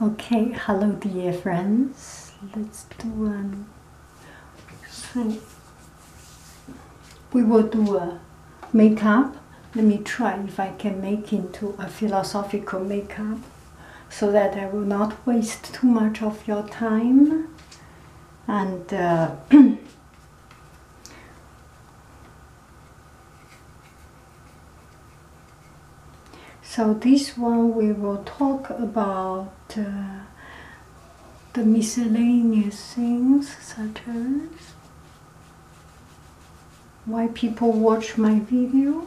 Okay, hello dear friends. Let's do um we will do a makeup. Let me try if I can make into a philosophical makeup so that I will not waste too much of your time and uh, So this one we will talk about uh, the miscellaneous things such as why people watch my video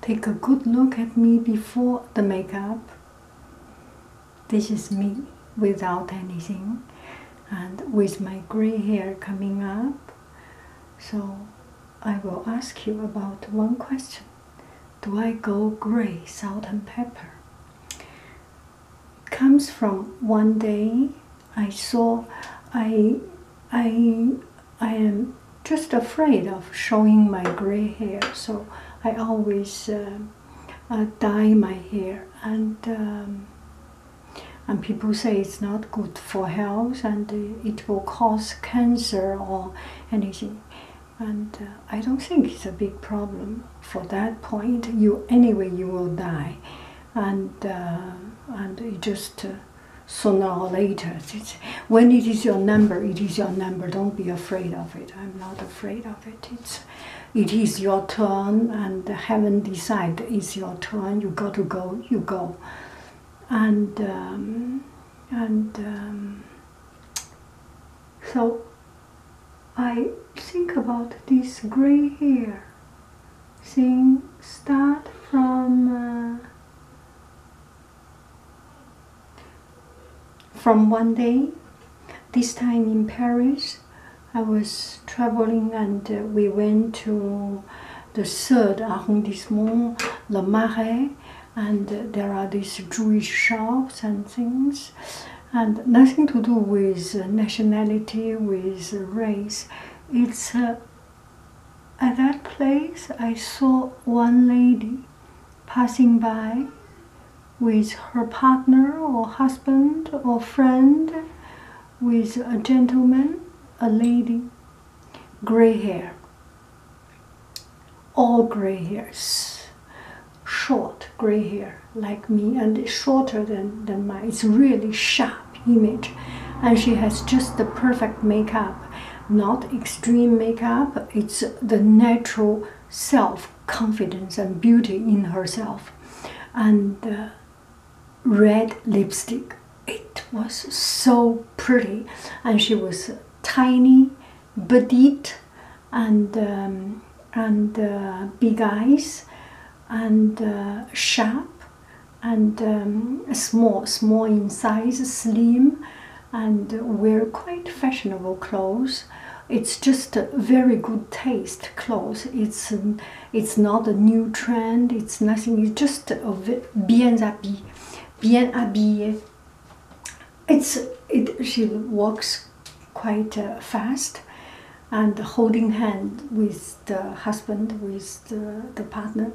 Take a good look at me before the makeup. This is me without anything and with my gray hair coming up. So I will ask you about one question. Do I go gray, salt and pepper? It comes from one day I saw I I I am just afraid of showing my gray hair, so I always uh, uh, dye my hair. And um, and people say it's not good for health and uh, it will cause cancer or anything. And I don't think it's a big problem for that point. You anyway, you will die, and and just sooner or later. It's, when it is your number, it is your number. Don't be afraid of it. I'm not afraid of it. It's, it is your turn, and heaven decide it's your turn. You got to go. You go, and um, and um, so I think about this gray hair thing. Start from. Uh, from one day, this time in Paris, I was traveling and uh, we went to the third arrondissement, La Marais, and uh, there are these Jewish shops and things, and nothing to do with uh, nationality, with race. It's uh, at that place, I saw one lady passing by with her partner or husband or friend, with a gentleman, a lady, gray hair, all gray hairs, short gray hair like me, and shorter than, than mine. It's really sharp image, and she has just the perfect makeup not extreme makeup, it's the natural self confidence and beauty in herself. And uh, red lipstick, it was so pretty, and she was tiny, petite, and um, and uh, big eyes, and uh, sharp, and um, small, small in size, slim, and wear quite fashionable clothes. It's just a very good taste clothes. It's um, it's not a new trend. It's nothing. It's just a bien habillé, bien habillé. It's it. She walks quite uh, fast, and holding hand with the husband with the, the partner.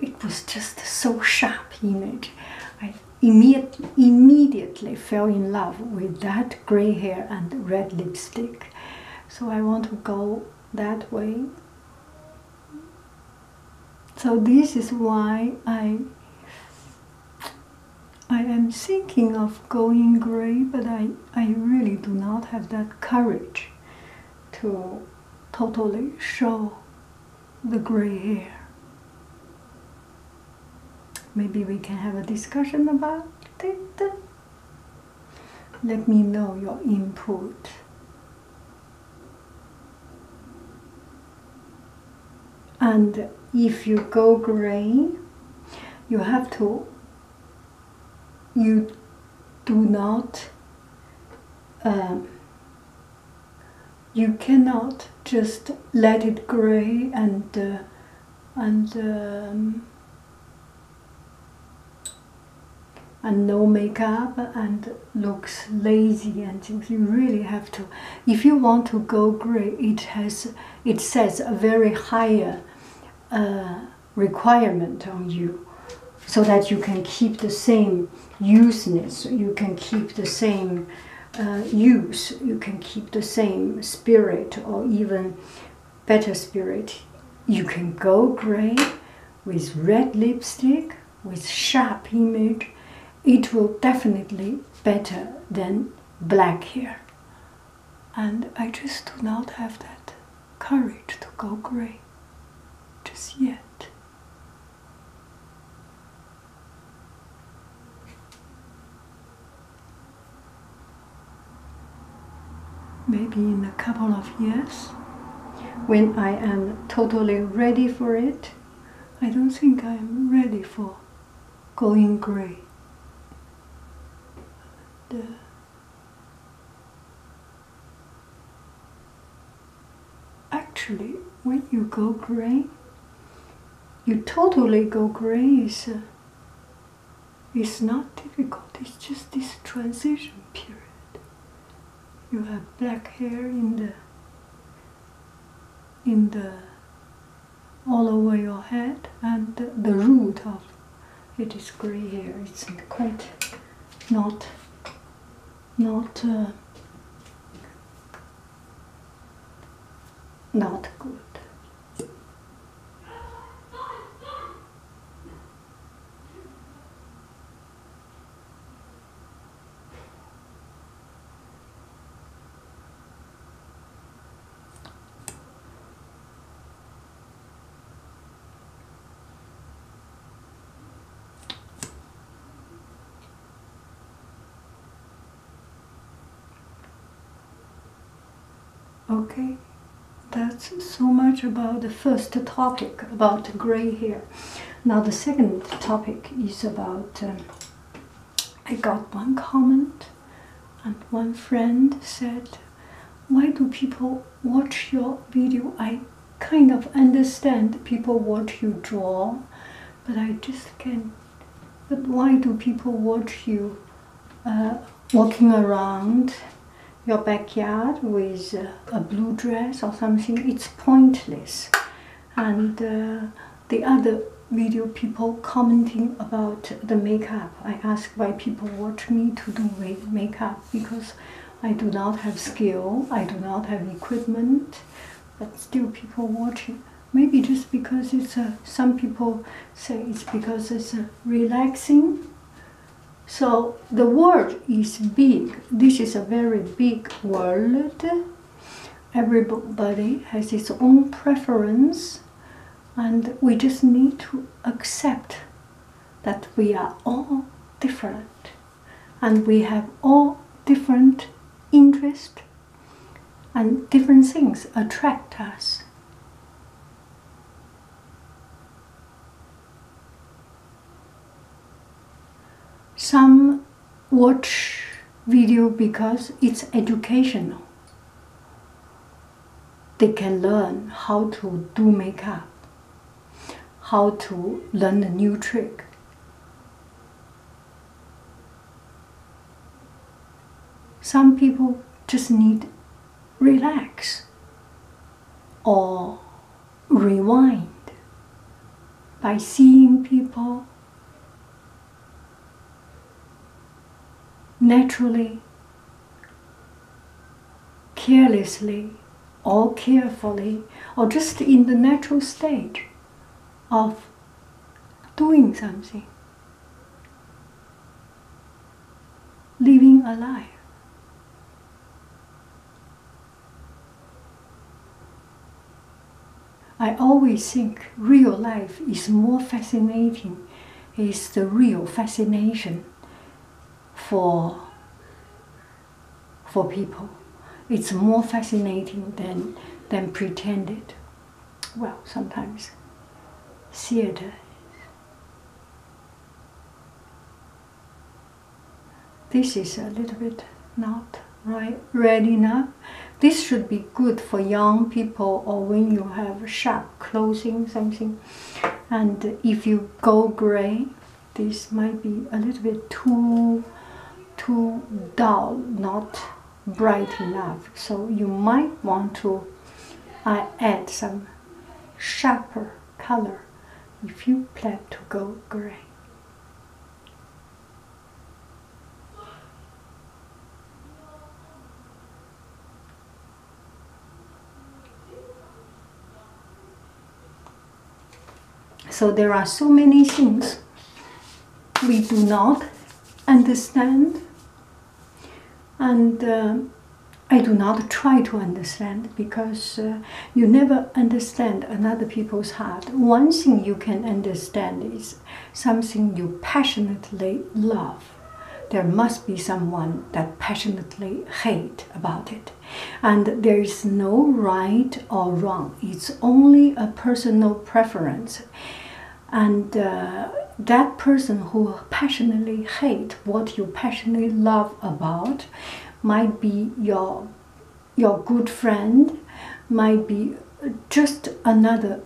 It was just so sharp image. I immediate, immediately fell in love with that gray hair and red lipstick. So I want to go that way. So this is why I I am thinking of going gray, but I, I really do not have that courage to totally show the gray hair. Maybe we can have a discussion about it. Let me know your input. And if you go gray, you have to, you do not um, you cannot just let it gray and uh, and um, and no makeup and looks lazy and things. You really have to. If you want to go gray, it has it sets a very higher uh, requirement on you, so that you can keep the same useness. You can keep the same uh, use, you can keep the same spirit or even better spirit. You can go grey with red lipstick, with sharp image. It will definitely better than black hair. And I just do not have that courage to go grey just yet. Maybe in a couple of years, when I am totally ready for it, I don't think I'm ready for going gray actually when you go gray you totally go gray is uh, it's not difficult it's just this transition period you have black hair in the in the all over your head and the root of it is gray hair it's quite not not uh, not good. Okay, that's so much about the first topic about gray hair. Now the second topic is about. Um, I got one comment, and one friend said, "Why do people watch your video? I kind of understand people watch you draw, but I just can't. But Why do people watch you uh, walking around your backyard with a blue dress or something? It's pointless. And uh, the other video people commenting about the makeup. I ask why people watch me to do makeup because I do not have skill, I do not have equipment but still people watch it. Maybe just because it's a, some people say it's because it's relaxing. So the world is big. This is a very big world. Everybody has its own preference, and we just need to accept that we are all different and we have all different interests and different things attract us. Some watch video because it's educational. They can learn how to do makeup, how to learn a new trick, some people just need relax or rewind by seeing people naturally, carelessly, or carefully, or just in the natural state of doing something, living a life. I always think real life is more fascinating, is the real fascination for for people. It's more fascinating than, than pretended. Well, sometimes theater. This is a little bit not right, ready enough. This should be good for young people or when you have sharp clothing, something. And if you go gray, this might be a little bit too too dull, not bright enough. So you might want to uh, add some sharper color if you plan to go gray. So there are so many things we do not understand, and uh, I do not try to understand because uh, you never understand another people's heart. One thing you can understand is something you passionately love. There must be someone that passionately hate about it. And there is no right or wrong. It's only a personal preference. And uh, that person who passionately hate what you passionately love about might be your, your good friend, might be just another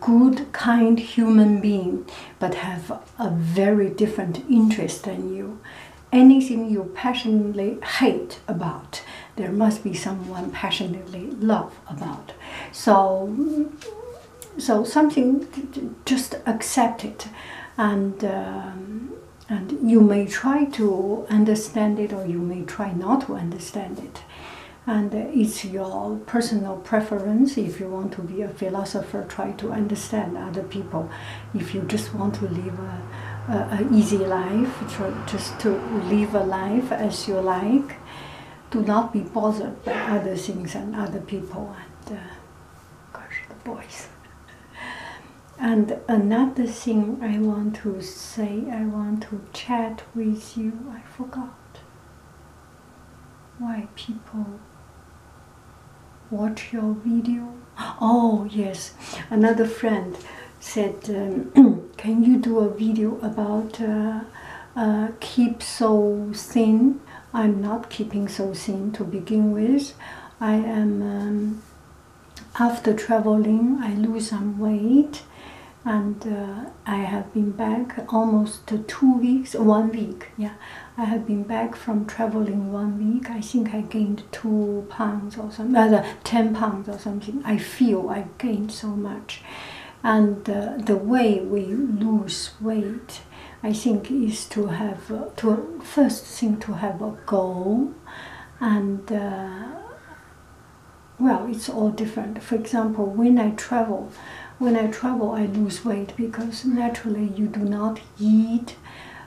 good, kind human being, but have a very different interest than you. Anything you passionately hate about there must be someone passionately love about. So, so something just accept it, and um, and you may try to understand it or you may try not to understand it, and it's your personal preference. If you want to be a philosopher, try to understand other people. If you just want to live a, a easy life, just to live a life as you like, to not be bothered by other things and other people and, uh, boys. And another thing I want to say, I want to chat with you, I forgot why people watch your video. Oh, yes, another friend said, um, "Can you do a video about uh, uh, keep so thin?" I'm not keeping so thin to begin with. I am um, after traveling, I lose some weight, and uh, I have been back almost two weeks, one week. Yeah, I have been back from traveling one week. I think I gained two pounds or something, 10 pounds or something, I feel I gained so much. And the way we lose weight, I think, is to have uh, to first thing to have a goal, and uh, well, it's all different. For example, when I travel, when I travel, I lose weight because naturally you do not eat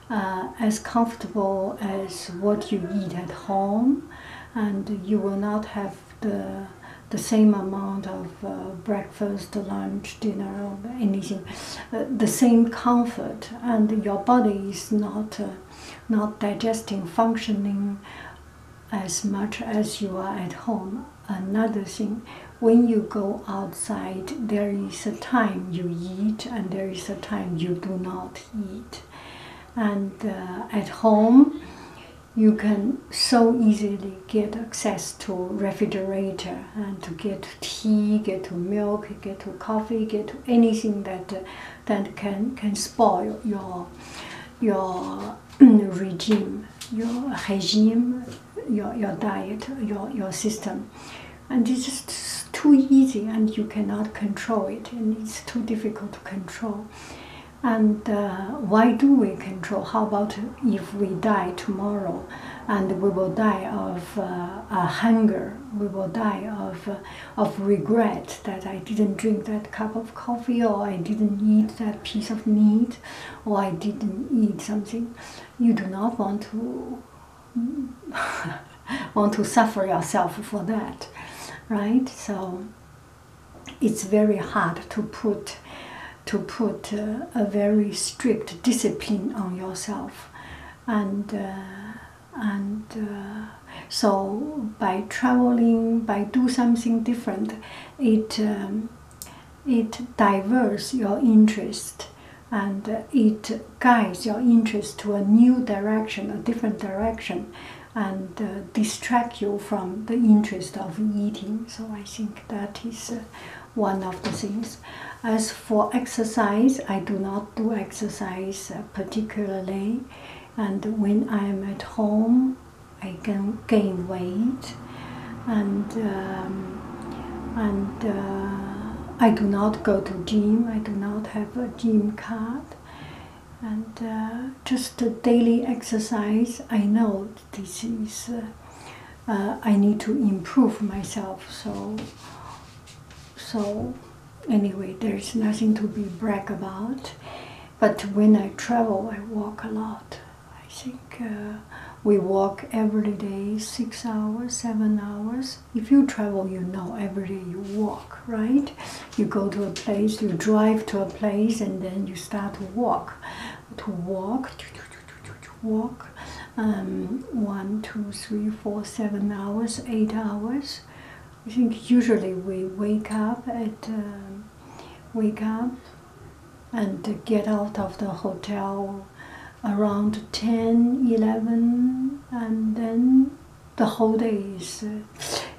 uh, as comfortable as what you eat at home and you will not have the the same amount of uh, breakfast, lunch, dinner, or anything, uh, the same comfort, and your body is not uh, not digesting, functioning as much as you are at home. Another thing, when you go outside, there is a time you eat and there is a time you do not eat and uh, at home you can so easily get access to refrigerator and to get tea, get to milk, get to coffee, get to anything that uh, that can can spoil your your regime, your regime, your your diet, your your system, and it's just too easy, and you cannot control it, and it's too difficult to control. And uh, why do we control? How about if we die tomorrow and we will die of uh, hunger, we will die of, uh, of regret that I didn't drink that cup of coffee or I didn't eat that piece of meat or I didn't eat something. You do not want to want to suffer yourself for that, right? So it's very hard to put to put uh, a very strict discipline on yourself and uh, and uh, so by traveling by do something different it um, it diverts your interest and it guides your interest to a new direction a different direction and uh, distract you from the interest of eating. So I think that is uh, one of the things. As for exercise, I do not do exercise uh, particularly, and when I am at home, I can gain weight, and um, and I do not go to gym. I do not have a gym card, and just a daily exercise. I know this is. Uh, uh, I need to improve myself. So, so anyway, there's nothing to be brag about. But when I travel, I walk a lot. I think uh, we walk every day, six hours, seven hours. If you travel, you know every day you walk right? You go to a place, you drive to a place, and then you start to walk. To walk, walk, um, one, two, three, four, seven hours, eight hours. I think usually we wake up at um, wake up and get out of the hotel around 10, 11, and then the whole day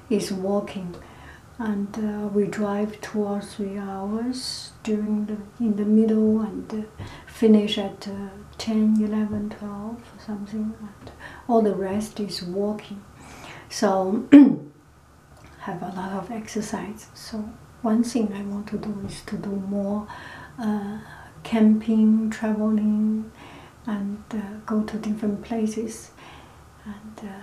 is uh, walking, and uh, we drive two or three hours during the in the middle and uh, finish at uh, 10, 11, 12, something. And all the rest is walking, so have a lot of exercise. So one thing I want to do is to do more camping, traveling, and go to different places and uh,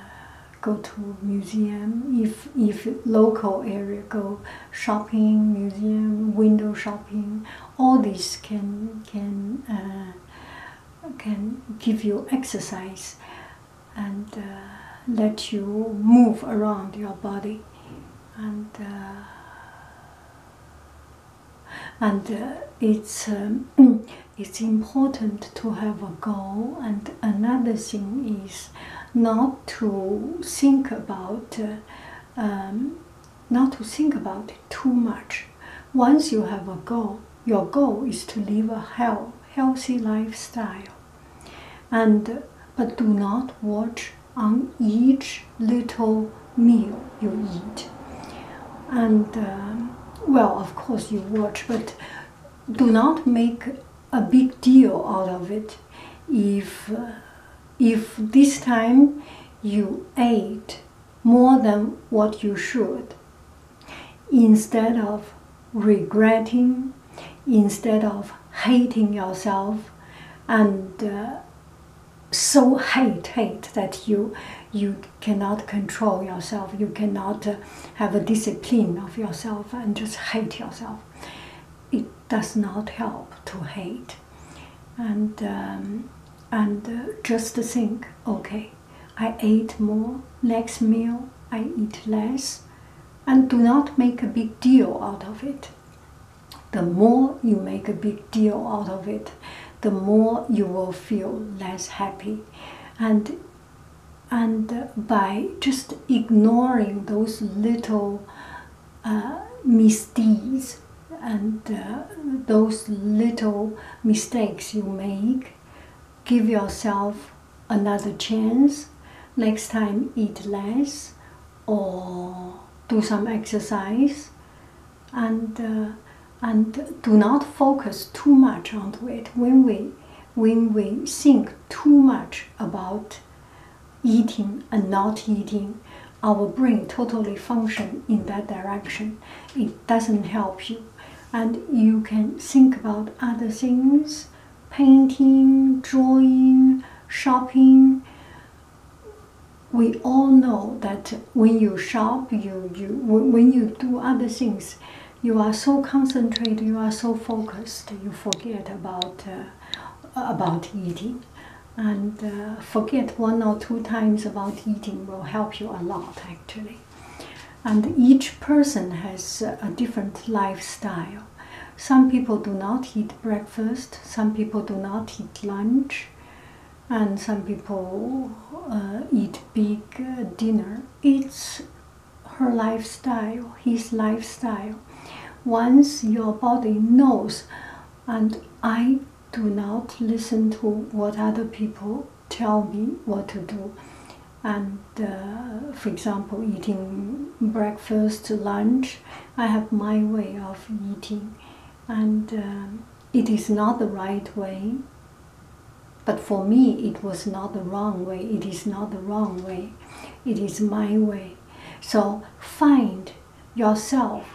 go to museum if if local area go shopping museum window shopping all these can can uh, can give you exercise and uh, let you move around your body and and it's um, it's important to have a goal and another thing is not to think about uh, um, not to think about it too much once you have a goal your goal is to live a health, healthy lifestyle and but do not watch on each little meal you eat and um, well, of course you watch, but do not make a big deal out of it. If uh, if this time you ate more than what you should, instead of regretting, instead of hating yourself, and uh, so hate hate that you you cannot control yourself, you cannot uh, have a discipline of yourself and just hate yourself. It does not help to hate. And, um, and uh, just think okay, I ate more, next meal I eat less, and do not make a big deal out of it. The more you make a big deal out of it, the more you will feel less happy. And and by just ignoring those little uh, misdeeds and uh, those little mistakes you make, give yourself another chance. Next time, eat less or do some exercise and uh, and do not focus too much onto it when we when we think too much about eating and not eating our brain totally functions in that direction it doesn't help you and you can think about other things painting drawing shopping we all know that when you shop you, you when you do other things you are so concentrated, you are so focused, you forget about uh, about eating, and uh, forget one or two times about eating will help you a lot actually. And each person has a different lifestyle. Some people do not eat breakfast. Some people do not eat lunch, and some people uh, eat big dinner it's her lifestyle, his lifestyle. Once your body knows, and I do not listen to what other people tell me what to do. And uh, for example, eating breakfast, lunch, I have my way of eating, and um, it is not the right way but for me, it was not the wrong way. It is not the wrong way. It is my way. So find yourself.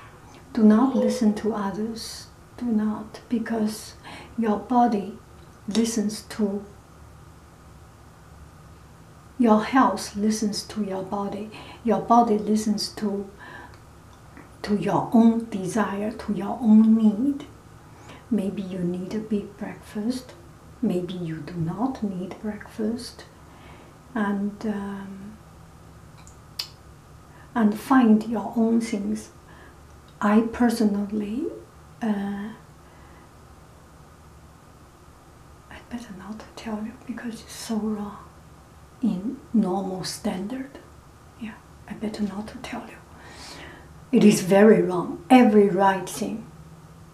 Do not listen to others. Do not, because your body listens to your health listens to your body your body listens to to your own desire to your own need Maybe you need a big breakfast, maybe you do not need breakfast, and um, and find your own things. I personally, uh, I better not tell you because it's so wrong in normal standard. Yeah, I better not to tell you. It is very wrong. Every right thing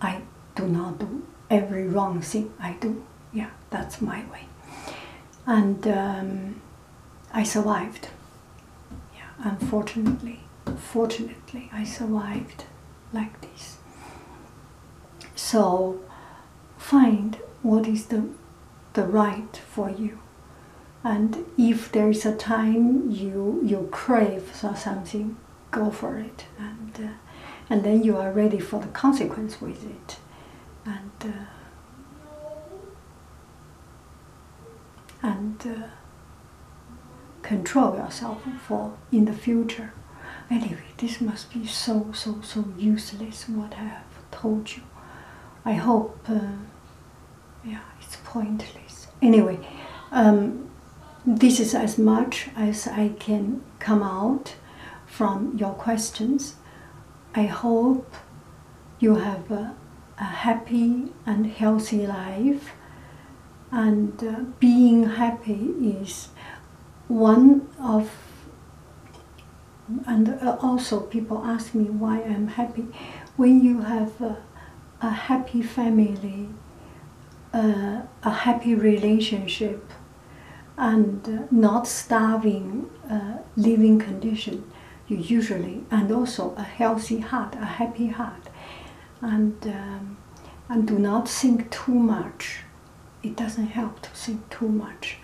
I do not do. Every wrong thing I do. Yeah, that's my way. And um, I survived. Yeah, unfortunately, fortunately, I survived like this. So find what is the, the right for you and if there is a time you you crave for something go for it and uh, and then you are ready for the consequence with it and uh, and uh, control yourself for in the future anyway this must be so so so useless what i have told you i hope yeah, it's pointless. Anyway, um, this is as much as I can come out from your questions. I hope you have a, happy and healthy life. And uh, being happy is one of and also people ask me why I'm happy. When you have a happy family, a happy relationship, and not starving uh, living condition, you usually, and also a healthy heart, a happy heart, and um, and do not think too much. It doesn't help to think too much.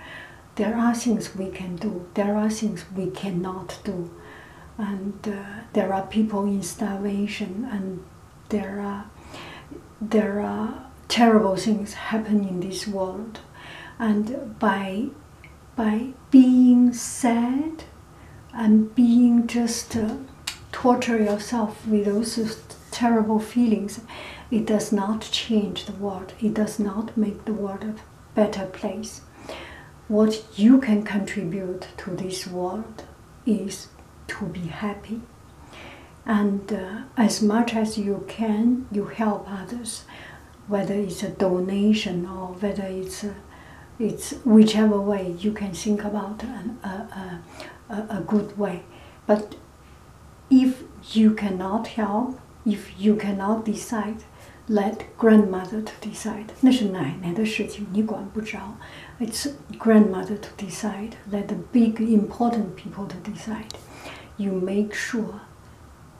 There are things we can do. There are things we cannot do and uh, there are people in starvation and there are there are terrible things happen in this world and by by being sad and being just uh, torture yourself with those terrible feelings it does not change the world it does not make the world a better place what you can contribute to this world is to be happy and uh, as much as you can you help others whether it's a donation or whether it's uh, it's whichever way you can think about a good way but if you cannot help if you cannot decide let grandmother to decide. 那是奶奶的事情，你管不着。It's grandmother to decide. Let the big important people to decide. You make sure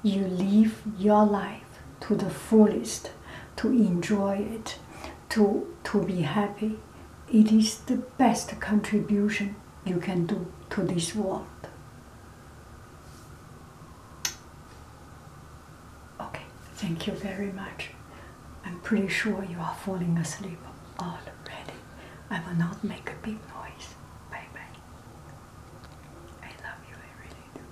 you live your life to the fullest, to enjoy it, to to be happy. It is the best contribution you can do to this world. Okay, thank you very much. I'm pretty sure you are falling asleep already. I will not make a big noise. Bye bye. I love you, I really do.